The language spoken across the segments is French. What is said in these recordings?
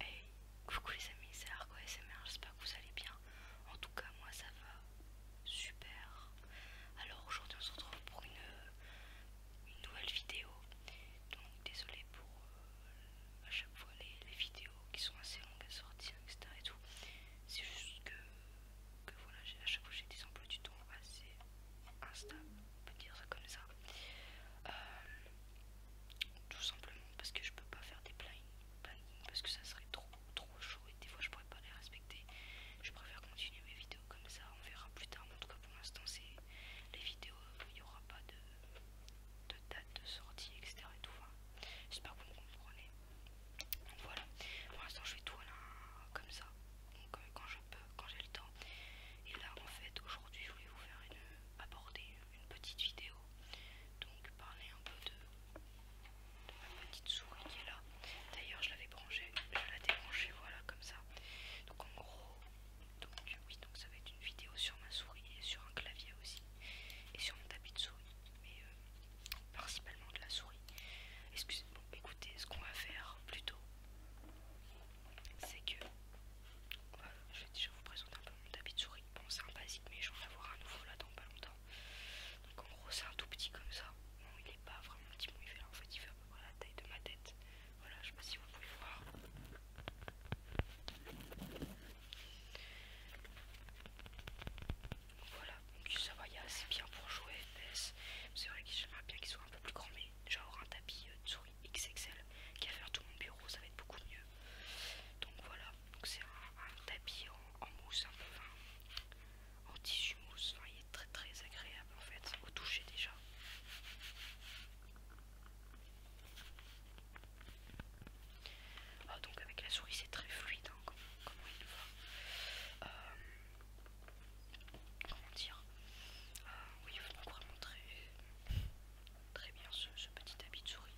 Hey, coucou les amis, c'est Argo SMR, j'espère que vous allez bien. En tout cas, moi ça va super. Alors aujourd'hui, on se retrouve pour une, nouvelle vidéo. Donc, désolé pour euh, à chaque fois les, vidéos qui sont assez longues à sortir, etc. et tout. C'est juste que, que voilà, à chaque fois j'ai des emplois du temps assez instables, on peut dire ça comme ça. Euh, tout simplement parce que je peux pas faire des plannings parce que ça serait trop trop chaud et des fois je pourrais pas les respecter. Je préfère continuer mes vidéos comme ça, on verra plus tard. Mais en tout cas pour l'instant c'est les vidéos, il n'y aura pas de de date de sortie, etc. tout. J'espère que vous me comprenez. Donc voilà, pour l'instant je fais tout comme ça, euh, quand je peux, quand j'ai le temps. Et là en fait aujourd'hui je voulais vous faire une... aborder une petite vidéo, donc parler un peu de, ma petite souris qui est là. D'ailleurs je l'avais branché je la débranchée, voilà comme ça. Donc en gros donc euh, oui, donc ça va être une vidéo sur ma souris et sur un clavier aussi. Et sur mon tapis de souris. Mais euh, principalement de la souris. Excusez, bon écoutez, ce qu'on va faire plutôt, c'est que je vais vous présenter un peu mon tapis de souris. Bon c'est un basique mais je vais en avoir un nouveau là dans pas longtemps. Donc en gros c'est un tout petit comme ça. Bon il est pas vraiment petit, mais en fait il fait à peu près la taille de ma tête. Voilà, je sais pas si vous pouvez voir. Voilà, donc ça va, il y a assez bien pour jouer C'est vrai que j'aimerais bien qu'il soit un peu plus grand, mais genre un tapis de euh, souris XXL qui va faire tout mon bureau, ça va être beaucoup mieux. Donc voilà, donc c'est un, tapis en, mousse, un peu, en tissu mousse, il est très très agréable en fait, au toucher déjà. Ah, donc avec la souris c'est très fluide, comment il va. comment dire euh, Oui, donc vraiment très, très bien ce, petit habit de souris.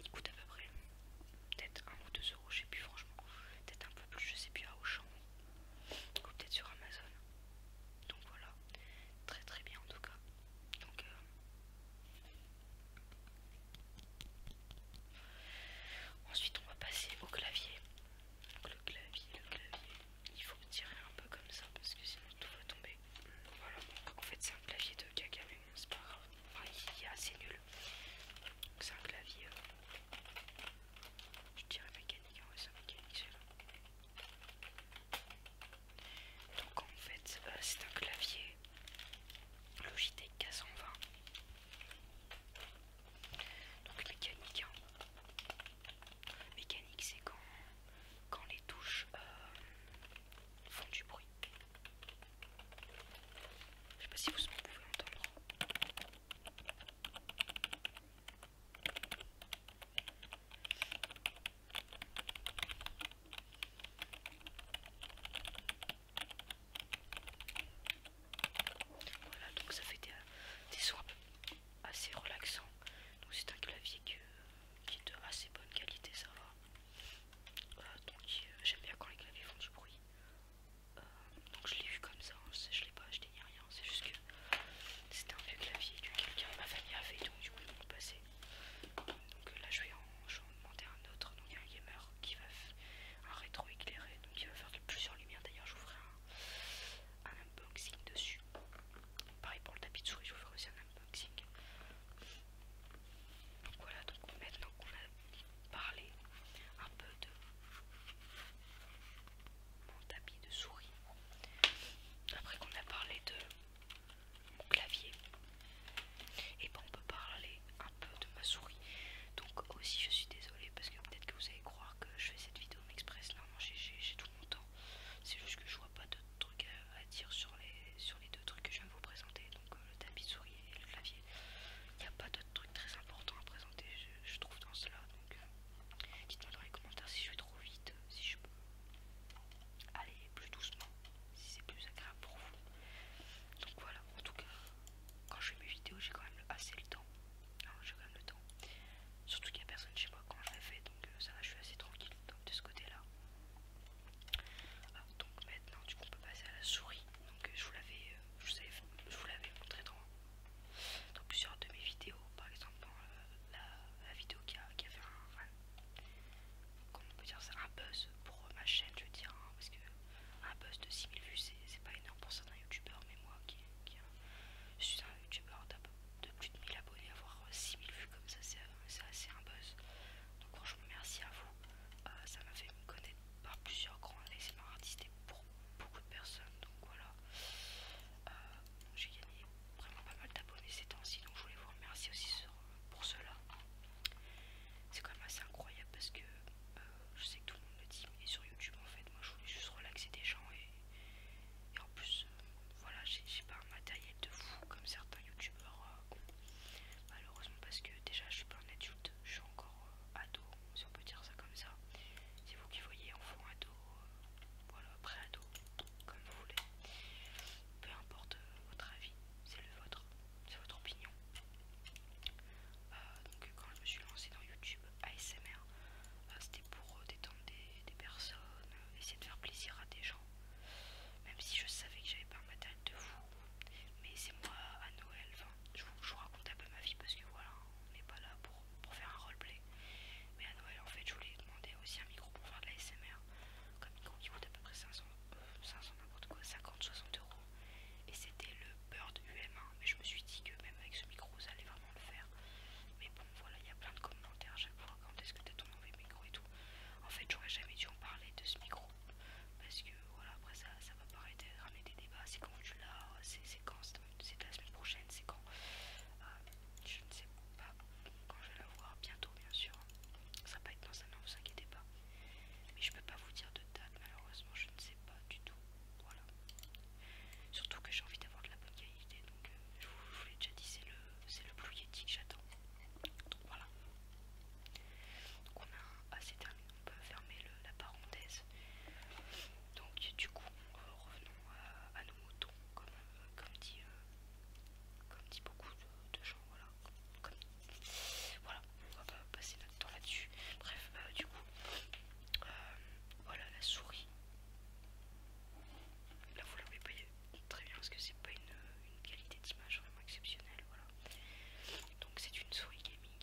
Il coûte à peu près peut-être 1 ou 2 euros, je sais plus franchement. Peut-être un peu plus, je sais plus à Auchan. Ou peut-être sur Amazon. Donc voilà, très très bien en tout cas. Donc euh, ensuite on va passer au clavier. le clavier, le clavier, il faut tirer un peu comme ça parce que sinon tout va tomber. Voilà, en fait c'est un clavier de caca c'est il est assez nul. c'est un clavier. Euh, je dirais mécanique, en hein, vrai c'est mécanique celui-là. Donc en fait, euh, c'est un clavier Logitech 420 Donc mécanique. Hein. Mécanique, c'est quand, les touches euh, font du bruit. Je sais pas si vous pouvez entendre. Voilà, donc ça fait des, des sons assez relaxants. Donc c'est un clavier qui est de assez bonne qualité, ça va. Euh, donc euh, j'aime bien quand les claviers font du bruit. Euh, donc je l'ai vu comme ça, je, hein, je l'ai pas acheté c'est juste que c'était un vieux clavier que quelqu'un de ma famille avait, donc du coup ils m'ont passé. Donc euh, là je vais en, monter demander un autre, donc il y a un gamer qui va faire un rétro éclairé, donc il va faire plusieurs lumières, d'ailleurs je vous ferai un, un unboxing dessus. Pareil pour le tapis de souris, je vous ferai aussi un unboxing. Donc voilà, donc maintenant qu'on a parlé un peu de mon tapis de souris. Après qu'on a parlé de mon clavier, et ben on peut parler un peu de ma souris. Donc aussi je suis désolée parce que peut-être que vous allez croire que je fais cette vidéo en express. Non, j'ai tout mon temps. C'est juste que je vois pas de trucs à, dire sur les, sur les deux trucs que je viens de vous présenter. Donc euh, le tapis de souris et le clavier. Il a pas de truc très important à présenter, je, trouve, dans cela. Donc, euh, dites-moi dans les commentaires si je vais trop vite, si je peux aller plus doucement, si c'est plus agréable pour vous. Donc, voilà, en tout cas, quand je fais mes vidéos, j'ai quand même assez le temps. Hein, j'ai quand même le temps. Surtout qu'il n'y a personne chez moi quand je les fais, donc euh, ça va, je suis assez tranquille donc, de ce côté-là. Ah, donc maintenant du coup on peut passer à la souris donc euh, je vous l'avais je vous l'avais montré dans dans plusieurs de mes vidéos, par exemple euh, la, vidéo qui a, fait un, buzz pour euh, ma chaîne, je veux dire, hein, parce que un buzz de 6000 vues c'est pas énorme pour certains youtubeurs, mais moi qui, euh, suis un youtubeur de plus de 1000 abonnés, avoir 6000 vues comme ça c'est assez un buzz. Donc vous remercie à vous, ça m'a fait me connaître par plusieurs grands ASMR artistes et beaucoup de personnes donc voilà euh, j'ai gagné vraiment pas mal d'abonnés ces temps-ci donc je voulais vous remercier aussi pour cela c'est quand même assez incroyable parce que euh, je sais que tout le monde le dit mais sur youtube en fait moi je voulais juste relaxer des gens et, en plus euh, voilà j'ai pas un matériel de fou comme certains youtubeurs malheureusement parce que déjà je suis pas un adulte je suis encore ado si on peut dire ça comme ça. C'est vous qui voyez enfant, ado, euh, voilà, pré-ado, comme vous voulez. Peu importe euh, votre avis, c'est le vôtre, c'est votre opinion. Euh, donc quand je me suis lancée dans YouTube ASMR, c'était pour détendre des, personnes, essayer de faire plaisir à des gens. Même si je savais que j'avais pas un matériel de vous mais c'est moi à Noël, je vous, raconte un peu ma vie parce que voilà, on n'est pas là pour, faire un roleplay. Mais à Noël, en fait, je voulais demander aussi un micro pour faire de la SMR, comme micro qui coûte à peu près 500, 500 euh, n'importe quoi, 50-60 euros. Et c'était le Bird UM1, mais je me suis dit que même avec ce micro, vous allez vraiment le faire. Mais bon, voilà, il y a plein de commentaires je vais vous raconter ce que t'as ton mauvais micro et tout. En fait, j'aurais jamais dû en parler de ce micro parce que voilà, après ça, ça va paraître ramener des débats. C'est quand tu là c'est quand, c'est la semaine prochaine, c'est quand. Euh, je ne sais pas quand je vais la voir, bientôt bien sûr. Ça va pas être dans un an, vous inquiétez pas. Mais je peux pas vous dire de date, malheureusement, je ne sais pas du tout. Voilà. Surtout que j'ai envie d'avoir de la bonne qualité, donc euh, je vous, l'ai déjà dit, c'est le, le Blue Yeti que j'attends. Donc voilà. Donc on a assez terminé on peut fermer la parenthèse. Donc du coup, euh, revenons euh, à, nos moutons, comme, euh, comme, dit, comme dit beaucoup de, gens, voilà. voilà, on va pas passer notre temps là-dessus. Bref, du coup, voilà la souris. Là vous l'avez pas très bien parce que c'est pas une, une qualité d'image vraiment exceptionnelle, voilà. Donc c'est une souris gaming,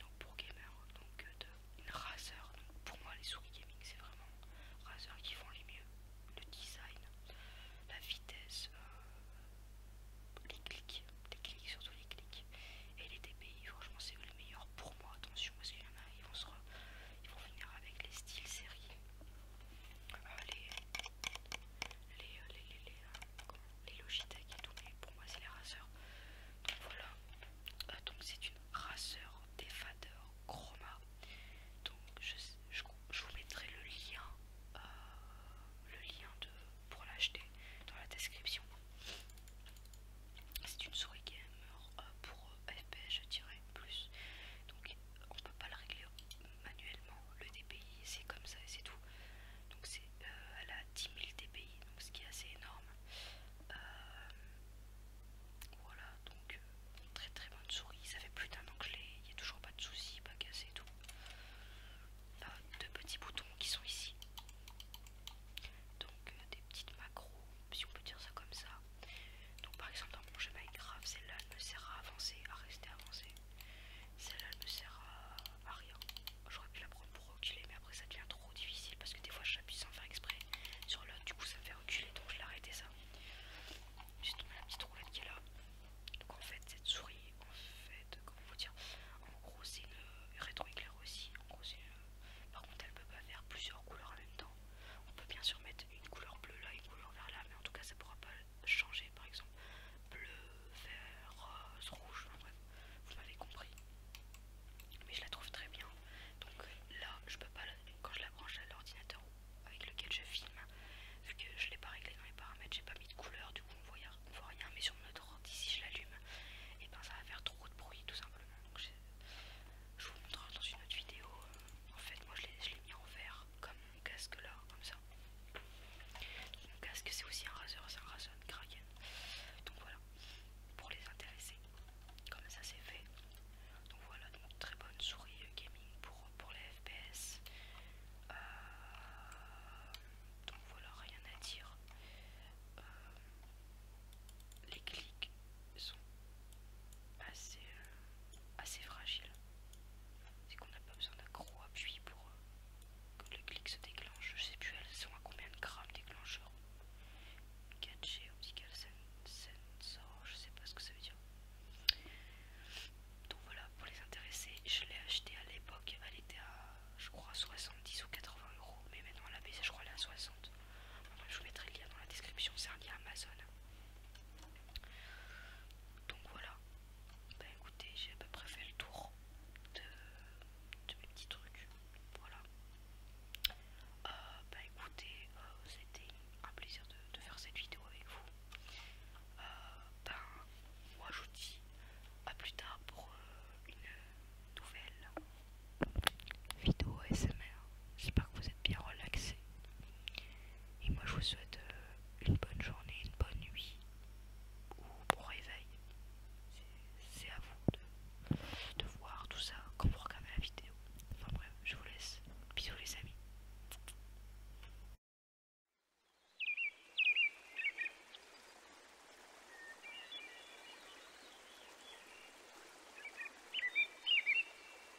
donc pour gamer, donc de, une Razer. pour moi les souris gaming c'est vraiment Razer qui font les mieux. Le design, la vitesse, les clics, les clics surtout les clics et les DPI. Franchement c'est le meilleur pour moi. Attention parce qu'il y en a, ils vont venir avec les styles série les, les Logitech et tout, mais pour moi c'est les raseurs. Donc voilà, euh, donc c'est une raceur défader chroma. Donc je, vous mettrai le lien, euh, le lien de, pour l'acheter dans la description. C'est une souris gamer euh, pour FPS je dirais plus. Donc on peut pas la régler manuellement le DPI, c'est comme ça et c'est tout. Donc c'est à euh, elle a 10 000 DPI, donc ce qui est assez énorme. Euh, voilà, donc euh, très très bonne souris, ça fait plus d'un an il n'y a toujours pas de soucis, pas cassé et tout. deux petits boutons qui sont ici. Donc des petites macros, si on peut dire ça comme ça. Donc par exemple dans mon jeu grave celle-là elle me sert à avancer, à rester avancé celle-là elle me sert à, rien. J'aurais pu la prendre pour reculer, mais après ça devient trop difficile parce que des fois je j'appuie sans faire exprès sur l'autre, du coup ça me fait reculer donc je l'ai arrêté ça. j'ai tombé la petite roulette qui est là. Donc en fait, cette souris, en fait, comment vous dire, en gros c'est une rétroéclair aussi. En gros, Par contre, elle peut pas faire plusieurs couleurs en même temps. On peut bien sûr mettre une couleur bleue là, une couleur vert là, mais en tout cas ça pourra pas changer par exemple bleu, vert, rose, rouge, bref, vous m'avez compris. Mais je la trouve très bien. Donc là, je peux pas, quand je la branche à l'ordinateur avec lequel je filme, vu que je l'ai pas réglé dans les paramètres, j'ai pas mis de couleur, du coup on voit, rien. Mais sur notre ordi, si je l'allume, et eh ben ça va faire trop de bruit tout simplement. Donc, je vous montrerai dans une autre vidéo. Euh, en fait, moi je l'ai mis en vert comme casque là, comme ça. Mon casque c'est aussi un rasoir, c'est un Razer Kraken. Donc voilà, pour les intéresser, comme ça c'est fait. Donc voilà, donc très bonne souris euh, gaming pour, pour les FPS. Euh, donc voilà, rien à dire. Euh, les clics sont assez assez fragile. C'est qu'on n'a pas besoin d'un gros appui pour euh, que le clic se déclenche. Je sais plus elles sont à combien de grammes déclencheur. 4G optical sensor, je sais pas ce que ça veut dire. Donc voilà, pour les intéressés, je l'ai acheté à l'époque, elle était à je crois 70 ou 80 euros, mais maintenant elle a je crois elle est à 60. je vous mettrai le lien dans la description, c'est un lien Amazon. Donc voilà, bah écoutez, j'ai à peu près fait le tour de, mes petits trucs. Voilà. Euh, bah écoutez, euh, c'était un plaisir de, faire cette vidéo avec vous. Euh, ben, moi je vous dis à plus tard pour une nouvelle vidéo smr J'espère que vous êtes bien relaxés. Et moi, je vous souhaite euh, une bonne journée, une bonne nuit ou bon réveil. C'est à vous de, de voir tout ça quand vous regardez la vidéo. Enfin bref, je vous laisse. Bisous les amis.